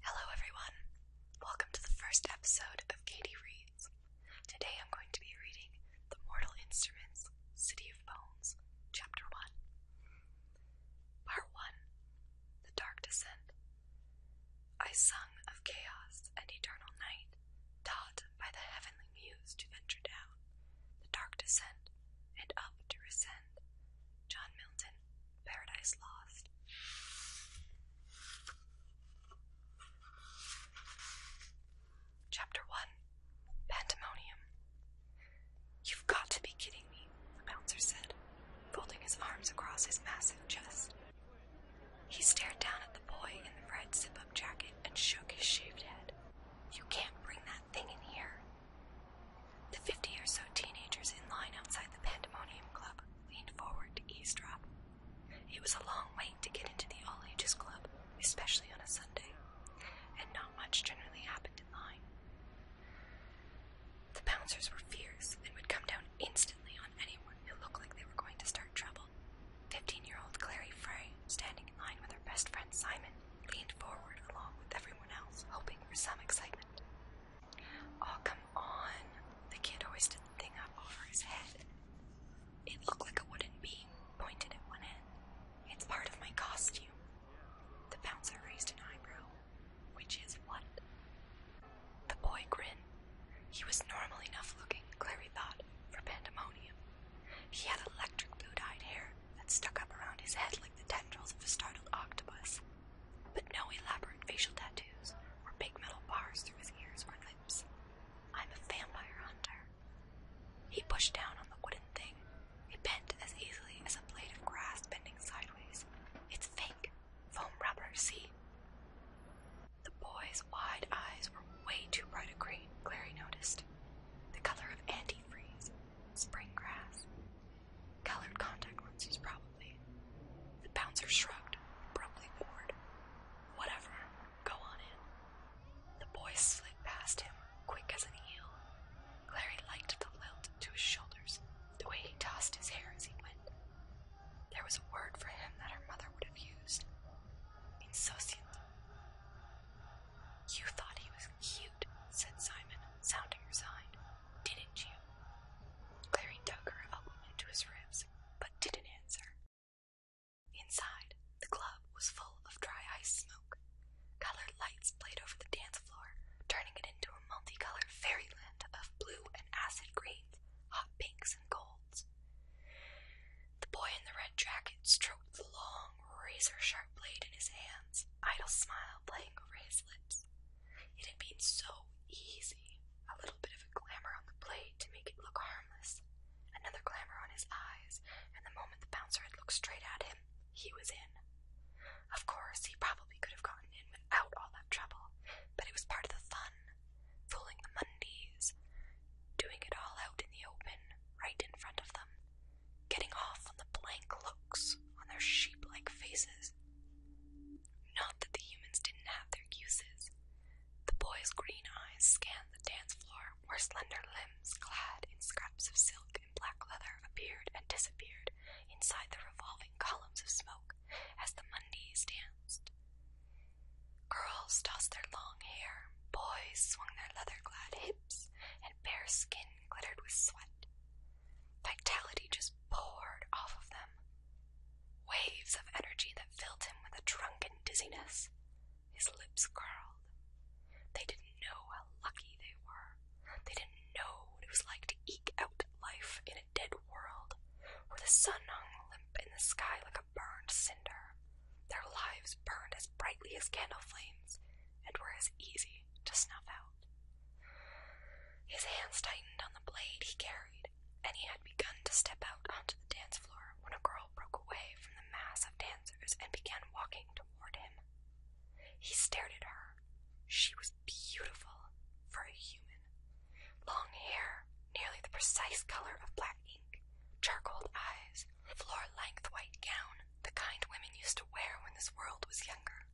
Hello, everyone. Welcome to the first episode of Katie Reads. Today I'm going to be reading The Mortal Instruments, City of Bones, Chapter 1. Part 1 The Dark Descent. I sung of chaos and eternal night, taught by the heavenly muse to venture down, the dark descent, and up to ascend. John Milton, Paradise Lost. Chapter 1 Pandemonium. You've got to be kidding me, the bouncer said, folding his arms across his massive chest. He stared down at the boy in the bright zip up jacket and shook his shaved head. You can't bring that thing in here. The fifty or so teenagers in line outside the Pandemonium Club leaned forward to eavesdrop. It was a long wait to get into the all ages club, especially on a Sunday, and not much generally happened in line. The bouncers were fierce and would come down instantly on anyone who looked like they were going to start trouble. Fifteen year old Clary Frey, standing in line with her best friend Simon, leaned forward along with everyone else, hoping for some excitement. Oh, come on! The kid hoisted the thing up over his head. It looked like a wooden beam pointed at one end. It's part of my costume. The bouncer raised an eyebrow. Which is what? The boy grinned. He was normal enough looking, Clary thought, for pandemonium. He had electric blue dyed hair that stuck up around his head like the tendrils of a startled octopus, but no elaborate facial tattoos or big metal bars through his ears or lips. I'm a vampire hunter, he pushed down on the wooden thing. It bent as easily as a blade of grass bending sideways. It's fake. Foam rubber, see? The boy's wide eyes were way too bright a green, Clary noticed. The color of antifreeze, spring grass. Colored contact lenses, probably. The bouncer shrugged, probably bored. Whatever. Go on in. The boy slid past him, quick as an eel. Clary liked the lilt to his shoulders, the way he tossed his hair as he went. There was a word for him that her mother would have used. Insociant. You thought he was cute, said Simon, sounding resigned. Didn't you? Clary dug her elbow into his ribs, but didn't answer. Inside, the club was full of dry ice smoke. Colored lights played over the dance floor, turning it into a multicolored fairyland of blue and acid greens, hot pinks and golds. The boy in the red jacket stroked the long, razor sharp blade in his hands, idle smile playing over his lips. It had been so easy, a little bit of glamour on the blade to make it look harmless, another glamour on his eyes, and the moment the bouncer had looked straight at him, he was in. Of course, he probably could have gotten in without all that trouble, but it was part of the fun. Fooling the Mundies, doing it all out in the open, right in front of them, getting off on the blank looks on their sheep like faces. Not that the humans didn't have their uses. The boy's green eyes scanned the dance floor where slender limbs clad in scraps of silk and black leather appeared and disappeared inside the revolving columns of smoke as the Mundies danced. Girls tossed their long hair, boys swung their leather clad hips, and bare skin glittered with sweat. Vitality just poured off of them. Waves of energy that filled him with a drunken dizziness. His lips curled. They didn't know how lucky they were. They didn't know what it was like to eke out life in a dead world where the sun hung limp in the sky like a burned cinder. Their lives burned as brightly as candle flames and were as easy to snuff out. His hands tightened on the blade he carried, and he had begun to step out onto the dance floor when a girl broke away from the mass of dancers and began walking toward him. He stared at her. She was beautiful for a human. Long hair, nearly the precise color of black ink, charcoal eyes, floor-length white gown, the kind women used to wear when this world was younger.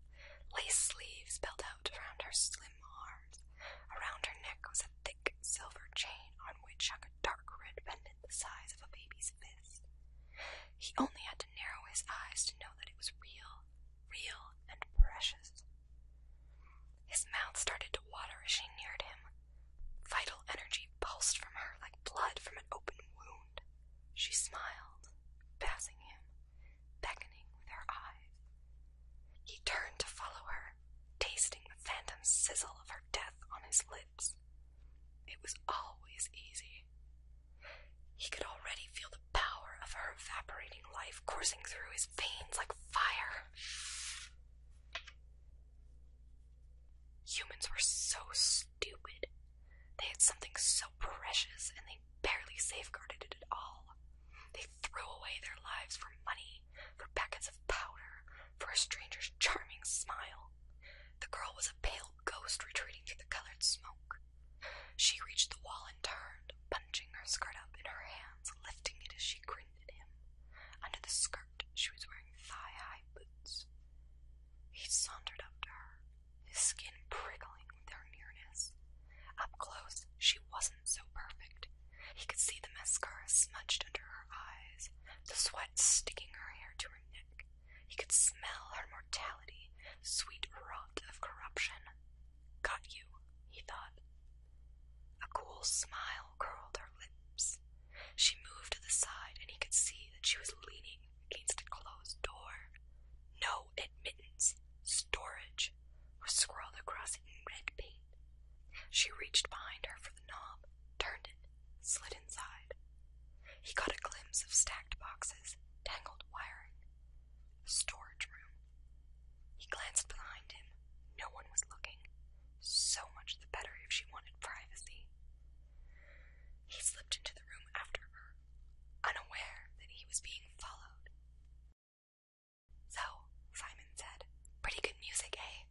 Lace sleeves spelled out around her slim arms. Around her neck was a thick silver chain on which hung a dark red pendant the size of a baby's fist. He only had to narrow his eyes to know that it was real, real, and precious. His mouth started to water as she neared him. Vital energy pulsed from her like blood from an open wound. She smiled, passing him, beckoning with her eyes. He turned to follow her, tasting the phantom sizzle of her death on his lips. It was always easy. He could already feel the power of her evaporating life coursing through his veins like fire. Humans were so stupid. They had something so precious and they barely safeguarded it at all. They threw away their lives for money, for packets of powder, for a stranger's charming smile. The girl was a pale ghost retreating through the colored smoke. She reached the wall and turned, punching her skirt up in her hands, lifting it as she grinned at him. Under the skirt, she was wearing thigh-high boots. He sauntered up to her, his skin prickling with their nearness. Up close, she wasn't so perfect. He could see the mascara smudged under her eyes, the sweat sticking her hair to her neck. He could smell her mortality, sweet rot of corruption. Got you, he thought. A cool smile curled her lips. She moved to the side, and he could see that she was leaning against a closed door. No admittance, storage, was scrawled across in red paint. She reached behind her for the knob, turned it, slid inside. He caught a glimpse of stacked boxes, tangled wiring, a storage room. He glanced behind him. No one was looking. So much the better if she wanted privacy. He slipped into the room after her, unaware that he was being followed. So, Simon said, pretty good music, eh?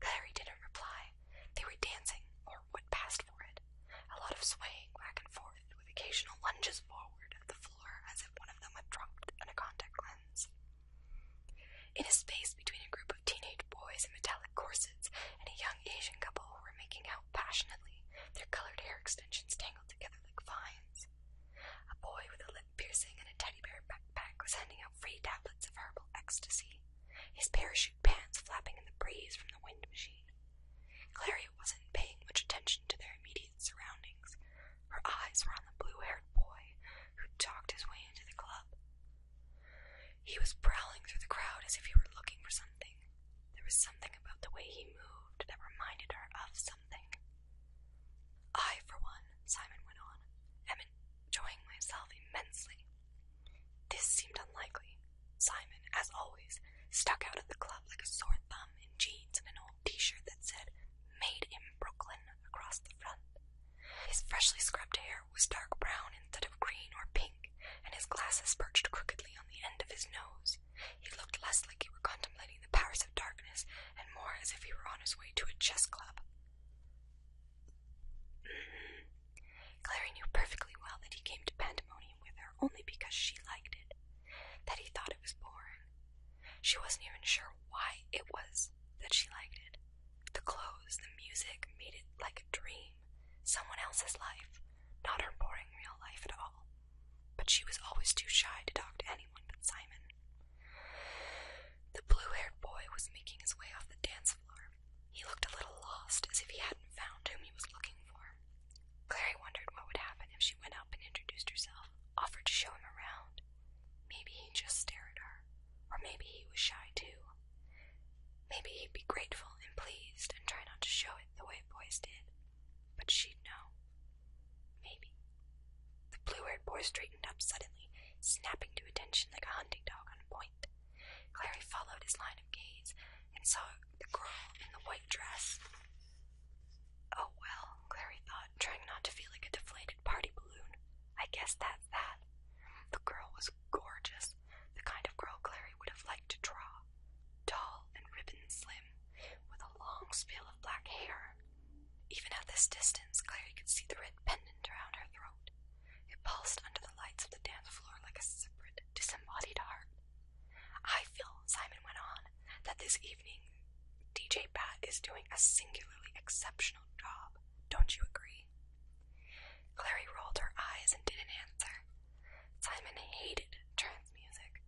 Clary didn't reply. They were dancing, or what passed for it. A lot of swaying back and forth, with occasional lunges forward at the floor as if one of them had dropped on a contact lens. In a space between a group of teenage boys in metallic corsets and a young Asian couple who were making out passionately, their colored hair extensions tangled together like vines. A boy with a lip piercing and a teddy bear backpack was handing out free tablets of herbal ecstasy his parachute pants flapping in the breeze from the wind machine. Clary wasn't paying much attention to their immediate surroundings. Her eyes were on the blue haired boy who'd talked his way into the club. He was prowling through the crowd as if he were looking for something. There was something about the way he moved that reminded her of something. I, for one, Simon went on, am enjoying myself immensely. This seemed unlikely. Simon, as always, stuck out at the club like a sore thumb in jeans and an old t shirt that said, Made in Brooklyn across the front. His freshly scrubbed hair was dark brown instead of green or pink, and his glasses perched crookedly on the end of his nose. He looked less like he were contemplating the powers of darkness and more as if he were on his way to a chess club. Clary knew perfectly well that he came to Pandemonium with her only because she liked it, that he thought it was boring. She wasn't even sure why it was that she liked it. The clothes, the music made it like a dream, someone else's life, not her boring real life at all. But she was always too shy to talk to anyone but Simon. The blue haired boy was making his way off the dance floor he looked a little lost, as if he hadn't found whom he was looking for. Clary wondered what would happen if she went up and introduced herself, offered to show him around. Maybe he'd just stare at her, or maybe he was shy too. Maybe he'd be grateful and pleased and try not to show it the way boys did. But she'd know. Maybe. The blue haired boy straightened up suddenly, snapping to attention like a hunting dog on point. Clary followed his line of gaze and saw the girl in the white dress. Oh well, Clary thought, trying not to feel like a deflated party balloon. I guess that's that. The girl was gorgeous, the kind of girl Clary would have liked to draw. Tall and ribbon slim, with a long spill of black hair. Even at this distance, Clary could see the red pendant around her throat. It pulsed under the lights of the dance floor like a separate, disembodied heart. I feel, Simon went on, that this evening DJ Pat is doing a singularly exceptional job. Don't you agree? Clary rolled her eyes and didn't answer. Simon hated trance music.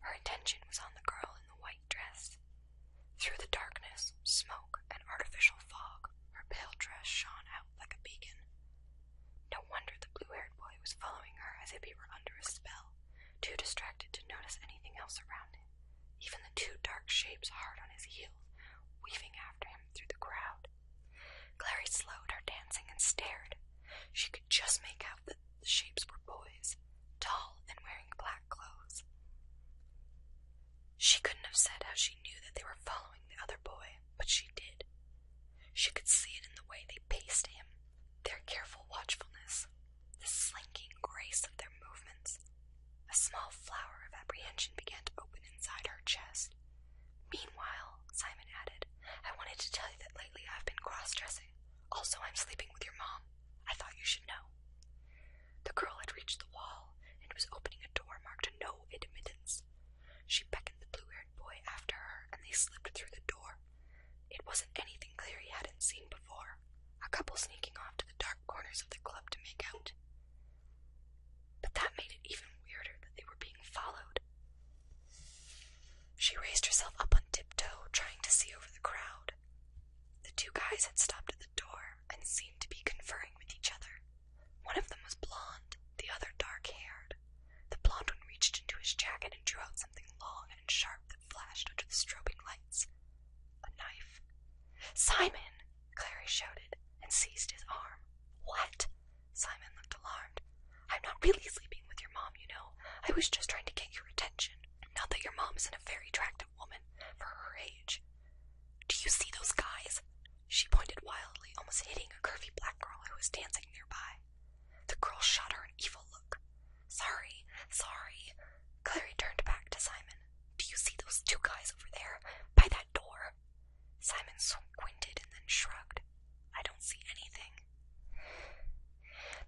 Her attention was on the girl in the white dress. Through the darkness, smoke, and artificial fog, her pale dress shone out like a beacon. No wonder the blue-haired boy was following her as if he were under a spell, too distracted to notice anything else around him, even the two dark shapes hard on his heels, weaving after him through the crowd. Clary slowed her dancing and stared. She could just make out that the shapes were boys, tall and wearing black clothes. She couldn't have said how she knew that they were following the other boy, but she did. She could see it in the way they paced him, their careful watchfulness, the slinking grace of their movements. A small flower of apprehension began to open inside her chest. Meanwhile, Simon added, I wanted to tell you that lately I've been cross dressing. Also, I'm sleeping with your mom. I thought you should know. The girl had reached the wall and was opening a door marked No Admittance. She beckoned the blue-haired boy after her, and they slipped through the door. It wasn't anything clear he hadn't seen before, a couple sneaking off to the dark corners of the club to make out. But that made it even weirder that they were being followed. She raised herself up on tiptoe, trying to see over the crowd. The two guys had stopped at the door and seemed to be conferring with each other. One of them was blond. the other dark haired. The blond one reached into his jacket and drew out something long and sharp that flashed under the strobing lights. A knife. Simon! Clary shouted and seized his arm. What? Simon looked alarmed. I'm not really sleeping with your mom, you know. I was just trying to get your attention. Not that your mom isn't a very attractive woman for her age. Do you see those guys? She pointed wildly, almost hitting a curvy black girl who was dancing nearby. The girl shot her an evil look. Sorry, sorry. Clary turned back to Simon. Do you see those two guys over there, by that door? Simon squinted and then shrugged. I don't see anything.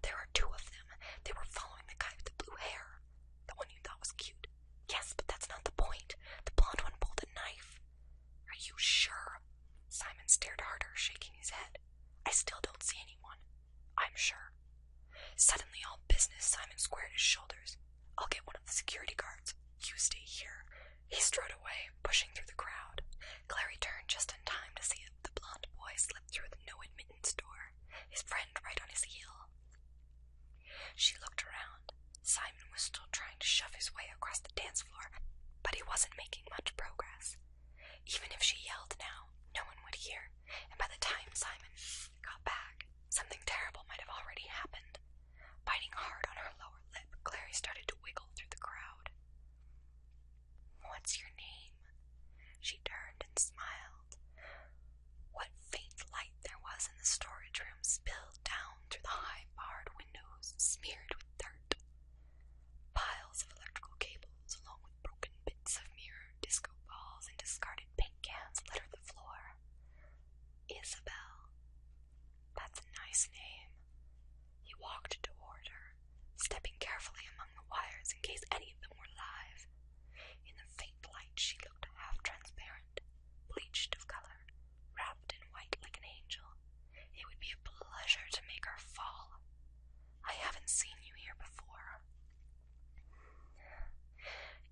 There are two of them. They were following the guy with the blue hair. The one you thought was cute. Yes, but that's not the point. The blonde one pulled a knife. Are you sure? Simon stared harder, shaking his head. I still don't see anyone. I'm sure. Suddenly, all business, Simon squared his shoulders. I'll get one of the security guards. You stay here. He strode away, pushing through the crowd. Clary turned just in time to see the blond boy slip through the no admittance door, his friend right on his heel. She looked around. Simon was still trying to shove his way across the dance floor, but he wasn't making much progress. Even if she yelled now, no one would hear, and by the time Simon got back, something terrible might have already happened. Biting hard on her lower lip, Clary started to wiggle through the crowd. What's your name? She turned and smiled. What faint light there was in the storage room spilled down through the high barred windows, smeared with dirt. Piles of electrical cables, along with broken bits of mirror, disco balls, and discarded pink cans, littered the floor. Isabel. That's a nice name. He walked toward her, stepping carefully among the wires in case any of them were live. In the faint light, she looked half transparent, bleached of color, wrapped in white like an angel, it would be a pleasure to make her fall. I haven't seen you here before.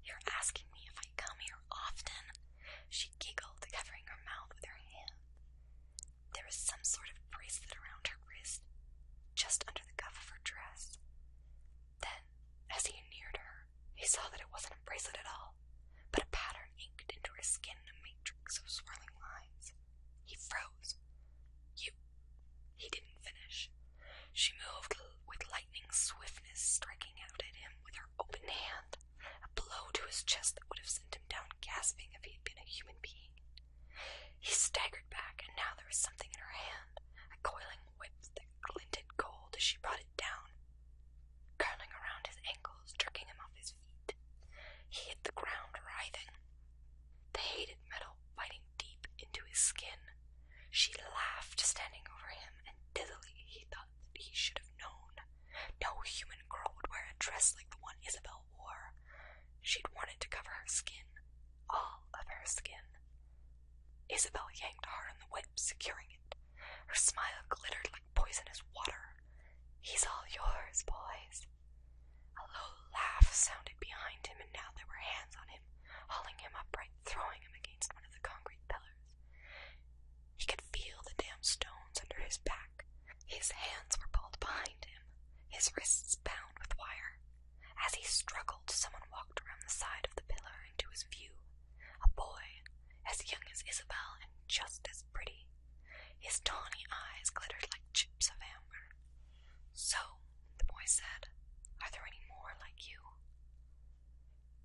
You're asking me if I come here often? She giggled, covering her mouth with her hand. There was some sort of bracelet around her wrist, just under the cuff of her dress. Then, as he neared her, he saw that it wasn't a bracelet at all, but a pattern inked into her skin a matrix of swirling lines. He froze. You. He didn't finish. She moved with lightning swiftness, striking out at him with her open hand, a blow to his chest that would have sent him down gasping if he had been a human being. He staggered back, and now there was something in her hand, a coiling whip that glinted gold as she brought it down, curling around his ankles, jerking him off his feet. He hit the ground, writhing. The hated metal biting deep into his skin. She laughed, standing over him, and dizzily he thought that he should have known. No human girl would wear a dress like the one Isabel wore. She'd wanted to cover her skin, all of her skin. Isabel yanked hard on the whip, securing it. Her smile glittered like poisonous water. He's all yours, boys. A low laugh sounded behind him, and now there were hands on him, hauling him upright, throwing him against one of the concrete pillars. He could feel the damp stones under his back. His hands were pulled behind him, his wrists bound with wire. As he struggled, someone walked around the side of the pillar into his view a boy as young as Isabel and just as pretty. His tawny eyes glittered like chips of amber. So, the boy said, are there any more like you?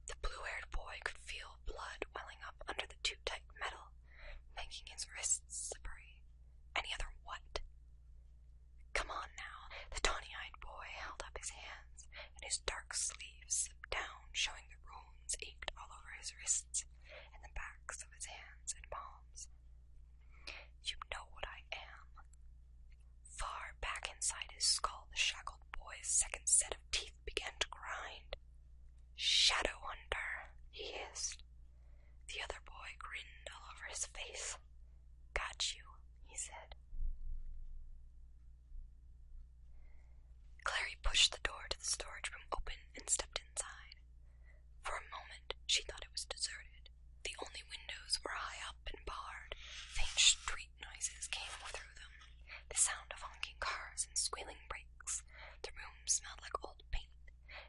The blue haired boy could feel blood welling up under the too tight metal, making his wrists slippery. Any other what? Come on now. The tawny eyed boy held up his hands, and his dark sleeves slipped down, showing the room bones ached all over his wrists and the backs of his hands and palms. You know what I am. Far back inside his skull, the shackled boy's second set of teeth began to grind. Shadow Hunter, he hissed. The other boy grinned all over his face. Got you, he said. Clary pushed the door to the storage room open and stepped inside. For a moment, she thought it was deserted. The only windows were high up and barred. Faint street noises came through them, the sound of honking cars and squealing brakes. The room smelled like old paint,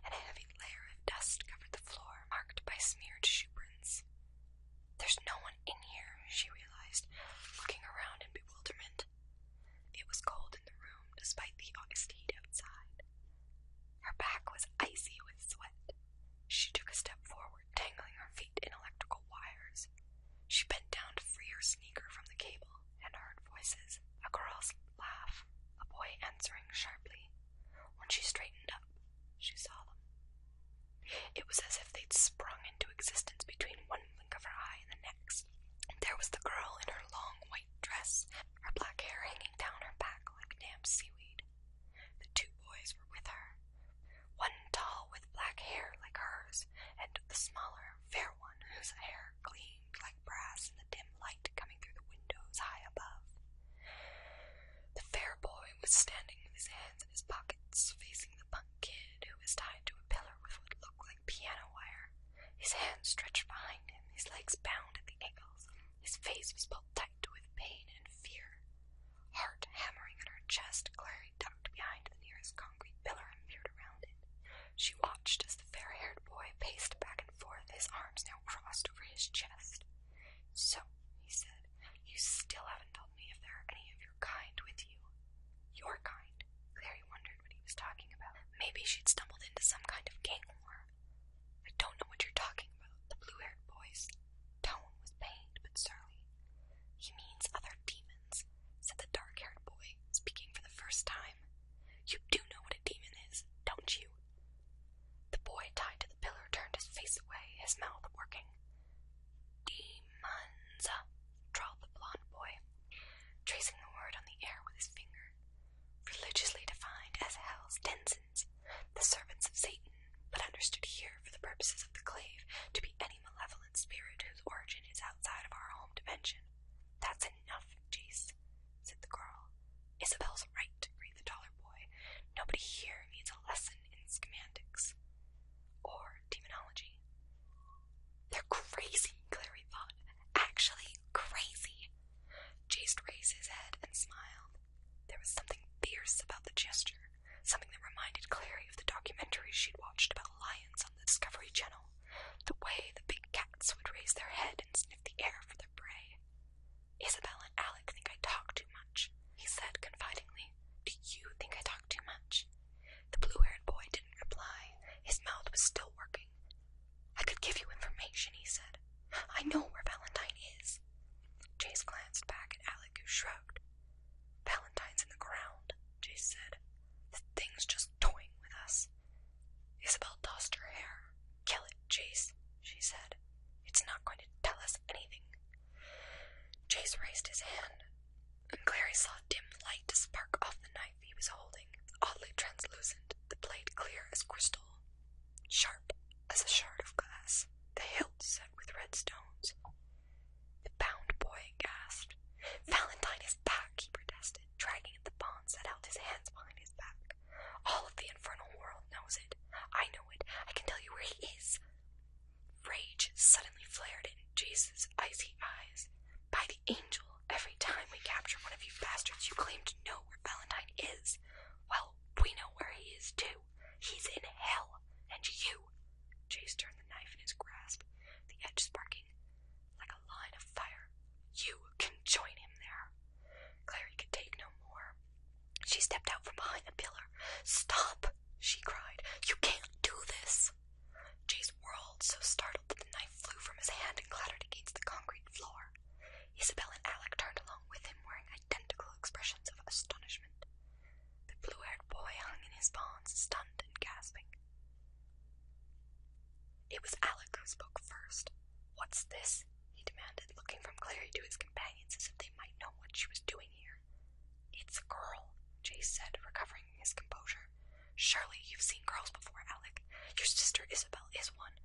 and a heavy layer of dust covered the floor, marked by smeared shoeprints. There's no one in here, she realized, looking around in bewilderment it. was cold in the room despite the August heat outside. Her back was icy with sweat. She took a step forward, tangling her feet in electrical wires. She bent down to free her sneaker from the cable and heard voices a girl's laugh, a boy answering sharply. When she straightened up, she saw them. It was as if they'd sprung into existence between one blink of her eye and the next. There was the girl in her long white dress, her black hair hanging down her back like damp seaweed. The two boys were with her. One tall with black hair like hers, and the smaller, fair one whose hair gleamed like brass in the dim light coming through the windows high above. The fair boy was standing with his hands in his pockets, facing the. A punk kid who was tied to a pillar with what looked like piano wire, his hands stretched behind him, his legs bound at the ankles. His face was pulled tight with pain and fear. Heart hammering in her chest, Clary ducked behind the nearest concrete pillar and peered around it. She watched as the fair-haired boy paced back and forth, his arms now crossed over his chest. So, he said, you still haven't told me if there are any of your kind with you. Your kind? Clary wondered what he was talking about. Maybe she'd stumbled into some kind of gang war. I don't know what you're talking about, the blue haired boy's tone was pained but surly. He means other demons, said the dark haired boy, speaking for the first time. You do know what a demon is, don't you? The boy tied to the pillar turned his face away, his mouth working. Demons, drawled the blond boy, tracing the word on the air with his finger. Religiously defined as Hell's denizens, the servants of Satan, but understood here for the purposes of the clave to be any malevolent spirit whose origin is outside of our home dimension. That's enough, Jace, said the girl. Isabel's right, agreed the taller boy. Nobody here needs a lesson in schematics or demonology. They're crazy, Clary thought. Actually crazy. Jace raised his head and smiled. There was something fierce about the gesture, something that reminded Clary of the documentary she'd watched about lions on the Discovery Channel, the way the big cats would raise their head and sniff the air for their prey. Isabel and Alec think I talk too much, he said confidingly. Do you think I talk too much? The blue-haired boy didn't reply. His mouth was still working. I could give you information, he said. I know where Valentine is. Jace glanced back at Alec, who shrugged. Valentine's in the ground, Jace said. The thing's just toying with us. Isabel tossed her hair. Kill it, Jace, she said. It's not going to tell us anything. Jace raised his hand and Clary saw a dim light spark off the knife he was holding, oddly translucent, the blade clear as crystal, sharp as a shard of glass, the hilt set with red stones. The bound boy gasped. Valentine is back, he protested, dragging at the bonds that held his hands behind his back. All of the infernal world knows it. I know it. I can tell you where he is. Rage suddenly flared in Jace's icy eyes. By angel. Every time we capture one of you bastards, you claim to know where Valentine is. Well, we know where he is too. He's in hell. And you. Chase turned the knife in his grasp, the edge sparking like a line of fire. You can join him there. Clary could take no more. She stepped out from behind the pillar. Stop! she cried. You can't do this glass. whirled, so startled that the knife flew from his hand and clattered against the concrete floor. Isabel and Alec turned along with him, wearing identical expressions of astonishment. The blue-haired boy hung in his bonds, stunned and gasping. It was Alec who spoke first. What's this? he demanded, looking from Clary to his companions as if they might know what she was doing here. It's a girl, Chase said, recovering his composure. Surely you've seen girls before, Alec. Your sister Isabel is one.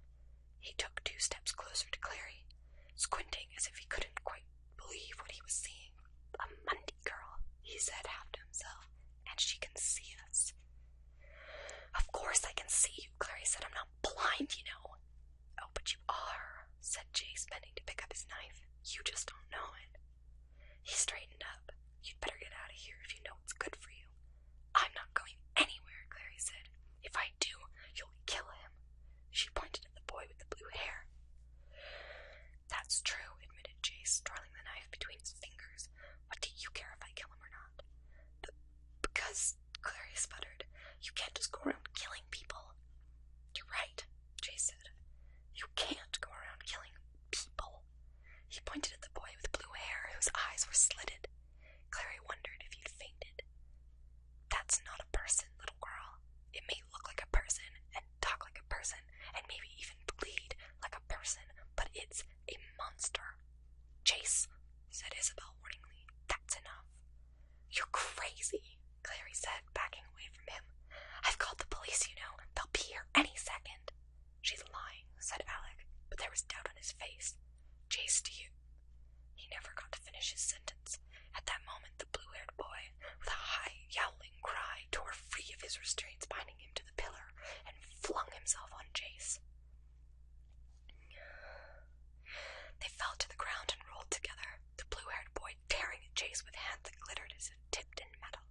He took two steps closer to Clary, squinting as if he couldn't quite believe what he was seeing. A Monday girl, he said half to himself, and she can see us. Of course I can see you, Clary said. I'm not blind, you know. Oh, but you are, said Jay, bending to pick up his knife. You just don't know it. He straightened up. You'd better get out of here if you know what's good for you. I'm not going anywhere, Clary said. If I do, you'll kill him. She pointed at the boy with the blue hair. That's true, admitted Jay, twirling the knife between his fingers. What do you care if I kill him or not? B because, Clary sputtered, you can't just go around killing people. You're right, Jay said. You can't go around killing people. He pointed at the boy with blue hair whose eyes were slitted. Clary wondered if he'd fainted. That's not a person, little girl. It may look like a person, and talk like a person, and maybe even bleed like a person, but it's a monster. Chase, said Isabel warningly, that's enough. You're crazy, Clary said, backing away from him. I've called the police, you know. They'll be here any second. She's lying, said Alec, but there was doubt on his face. Jace, do you? He never got to finish his sentence. At that moment, the blue haired boy, with a high, yowling cry, tore free of his restraints binding him to the pillar and flung himself on Jace. They fell to the ground and rolled together, the blue haired boy tearing at Jace with hands that glittered as if tipped in metal.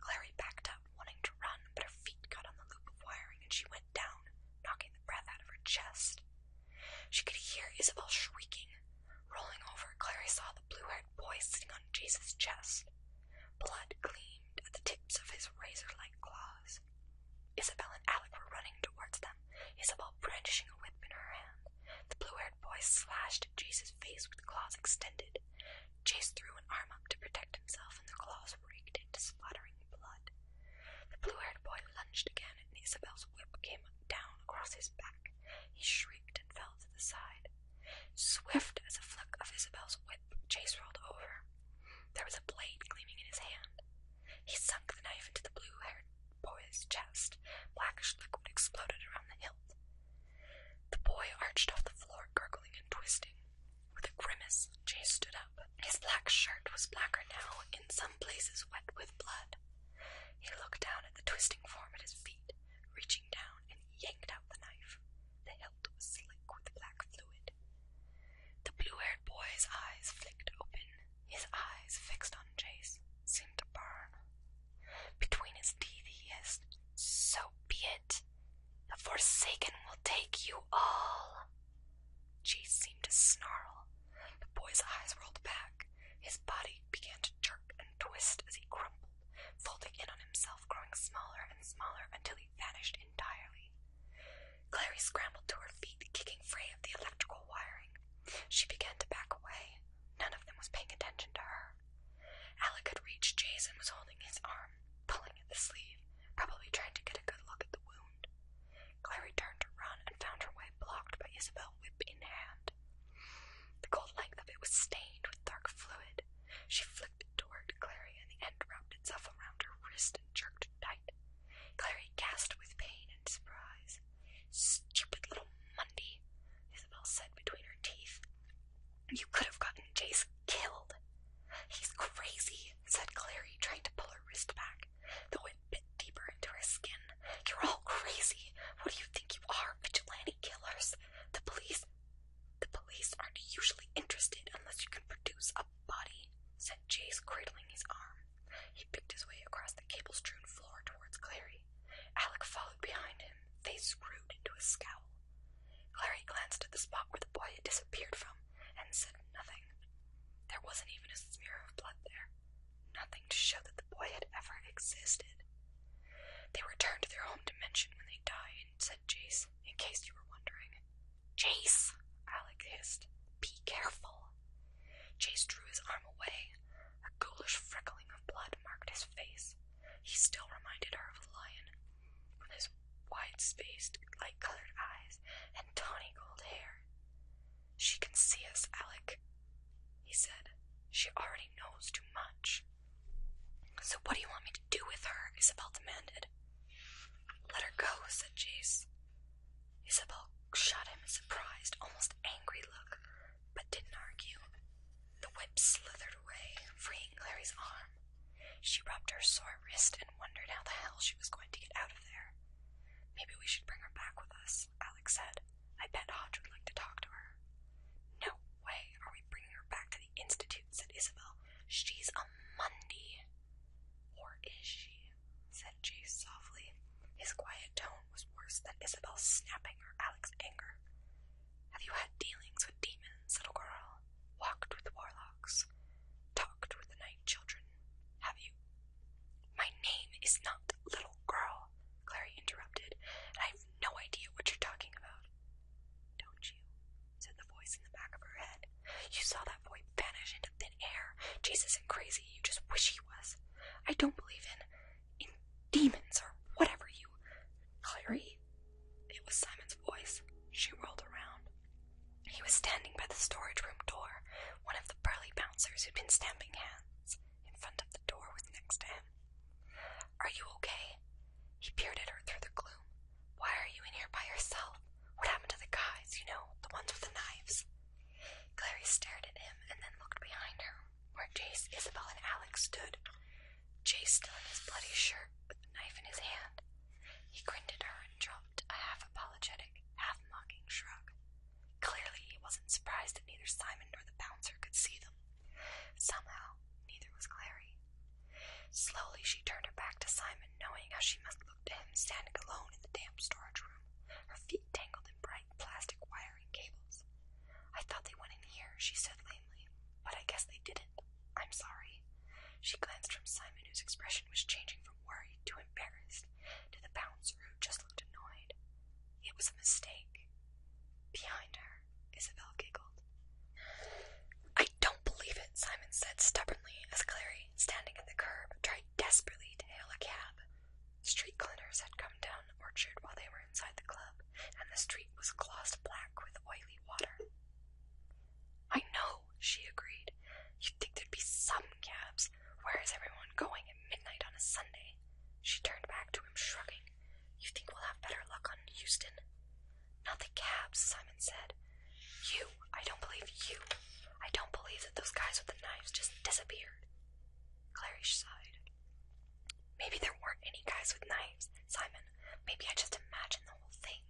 Clary backed up, wanting to run, but her feet got on the loop of wiring and she went down, knocking the breath out of her chest. She could hear Isabel shrieking. Rolling over, Clary saw the blue haired boy sitting on Jace's chest. Blood gleamed at the tips of his razor like claws. Isabel and Alec were running towards them, Isabel brandishing a whip in her hand. The blue haired boy slashed at face with claws extended. Chase threw an arm up to protect himself, and the claws raked into splattering blood. The blue-haired boy lunged again, and Isabel's whip came down across his back. He shrieked and fell to the side. Swift as a flick of Isabel's whip, Chase rolled over. There was a blade gleaming in his hand. He sunk the knife into the blue-haired boy's chest. Blackish liquid exploded around the hilt. The boy arched off the floor, gurgling and twisting. With a grimace, Jay stood up. His black shirt was blacker now, in some places wet with blood. He looked down at the twisting form at his feet, reaching down and yanked out the knife. The hilt was slick with black fluid. The blue-haired boy's eyes flicked open. His eyes, fixed on Jace, seemed to burn. Between his teeth he hissed, So be it! The Forsaken will take you all. Chase seemed to snarl. The boy's eyes rolled back. His body began to jerk and twist as he crumpled, folding in on himself, growing smaller and smaller until he vanished entirely. Clary scrambled to her feet, kicking free of the electrical wiring. She began to back away. None of them was paying attention to her. Alec had reached Jason was holding his arm, pulling at the sleeve, probably trying to get a good look at the wound. Clary turned to run and found her way blocked by Isabel, whip in hand. The gold length of it was stained with dark fluid. She flicked it toward Clary, and the end wrapped itself around her wrist and jerked tight. Clary gasped with pain and surprise. Stupid little Mundy, Isabel said between her teeth, you could have gotten Jace killed. He's crazy, said Clary, trying to pull her wrist back, though it bit deeper into her skin. You're all crazy. What do you think you are, vigilante killers? The police. The police aren't usually interested unless you can produce a body, said Jace, cradling his arm. He picked his way across the cable strewn floor towards Clary. Alec followed behind him, face screwed into a scowl. Clary glanced at the spot where the boy had disappeared from and said nothing. There wasn't even a smear of blood there, nothing to show that the boy had ever existed. They return to their home dimension when they die, said Jace, in case you were wondering. Jace! Alec hissed. Be careful! Jace drew his arm away. A ghoulish freckling of blood marked his face. He still reminded her of a lion, with his wide-spaced, light-colored eyes and tawny gold hair. She can see us, Alec, he said. She already knows too much. So what do you want me to do with her? Isabel demanded. Let her go, said Jace. Isabel shot him a surprised, almost angry look, but didn't argue. The whip slithered away, freeing Clary's arm. She rubbed her sore wrist and wondered how the hell she was going to get out of there. Maybe we should bring her back with us, Alex said. I bet Hodge would like to talk to her. No way are we bringing her back to the Institute, said Isabel. She's a Mundy. Or is she? said Chase softly. His quiet tone was worse than Isabel's snapping or Alex's anger. Have you had dealings with demons, little girl? Walked with warlocks? Talked with the night children? Have you? My name is not Little Girl, Clary interrupted, and I've no idea what you're talking about. Don't you? said the voice in the back of her head. You saw that boy vanish into thin air. Jesus and crazy, you just wish he was. I don't believe in in demons or whatever you Clary? It was Simon's voice. She rolled around. He was standing by the storage room door. One of the burly bouncers who'd been stamping hands in front of the door was next to him. Are you okay? He peered at her through the gloom. Why are you in here by yourself? What happened to the guys, you know, the ones with the knives? Clary stared at him and then looked behind her, where Jace, Isabel, and Alex stood. Jay still in his bloody shirt with the knife in his hand. He grinned at her and dropped a half apologetic, half mocking shrug. Clearly, he wasn't surprised that neither Simon nor the bouncer could see them. Somehow, neither was Clary. Slowly, she turned her back to Simon, knowing how she must look to him standing alone in the damp storage room, her feet tangled in bright plastic wiring cables. I thought they went in here, she said lamely, but I guess they didn't. I'm sorry. She glanced from Simon, whose expression was changing from worried to embarrassed, to the bouncer, who just looked annoyed. It was a mistake. Behind her, Isabel giggled. I don't believe it, Simon said stubbornly as Clary, standing at the curb, tried desperately to hail a cab. Street cleaners had come down the orchard while they were inside the club, and the street was glossed black with oily water. I know, she agreed. You'd think there'd be some cabs. Where is everyone going at midnight on a Sunday? She turned back to him, shrugging. You think we'll have better luck on Houston? Not the cabs, Simon said. You, I don't believe you. I don't believe that those guys with the knives just disappeared. Clarice sighed. Maybe there weren't any guys with knives, Simon. Maybe I just imagined the whole thing.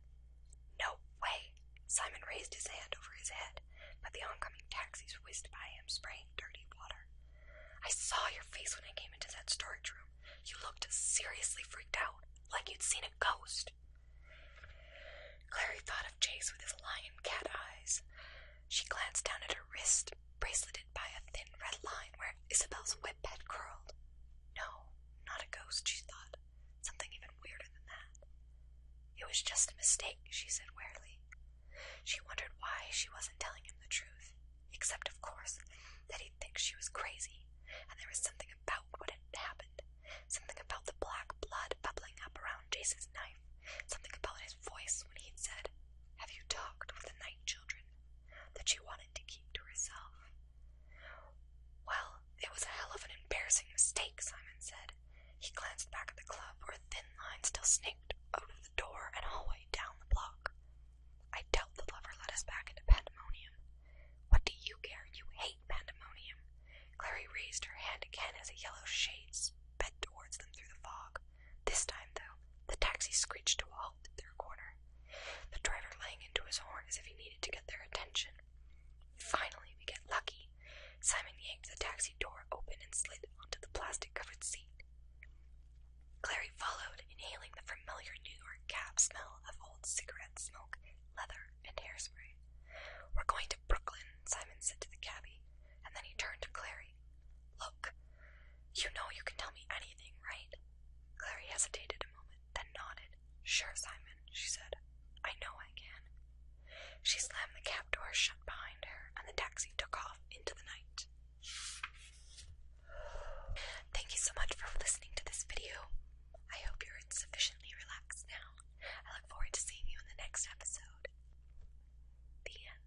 No way! Simon raised his hand over his head, but the oncoming taxis whizzed by him, spraying dirty water. I saw your face when I came into that storage room. You looked seriously freaked out, like you'd seen a ghost. Clary thought of Chase with his lion cat eyes. She glanced down at her wrist, braceleted by a thin red line where Isabel's whip had curled. No, not a ghost, she thought. Something even weirder than that. It was just a mistake, she said wearily. She wondered why she wasn't telling him the truth, except, of course, that he'd think she was crazy, and there was something about what had happened, something about the black blood bubbling up around Jason's knife, something about his voice when he'd said, Have you talked with the night children? that she wanted to keep to herself. Well, it was a hell of an embarrassing mistake, Simon said. He glanced back at the club where a thin line still snaked out of the door and hallway down the block. I doubt the lover led us back into pandemonium. What do you care? You hate pandemonium. Clary raised her hand again as a yellow shade sped towards them through the fog. This time, though, the taxi screeched to a halt at their corner the driver laying into his horn as if he needed to get their attention. Finally, we get lucky. Simon yanked the taxi door open and slid onto the plastic covered seat. Clary followed, inhaling the familiar New York cab smell of old cigarette smoke, leather, and hairspray. We're going to Brooklyn, Simon said to the cabbie, and then he turned to Clary. Look, you know you can tell me anything, right? Clary hesitated a moment then nodded. Sure, Simon, she said. I know I can. She slammed the cab door shut behind her, and the taxi took off into the night. Thank you so much for listening to this video. I hope you're sufficiently relaxed now. I look forward to seeing you in the next episode. The end.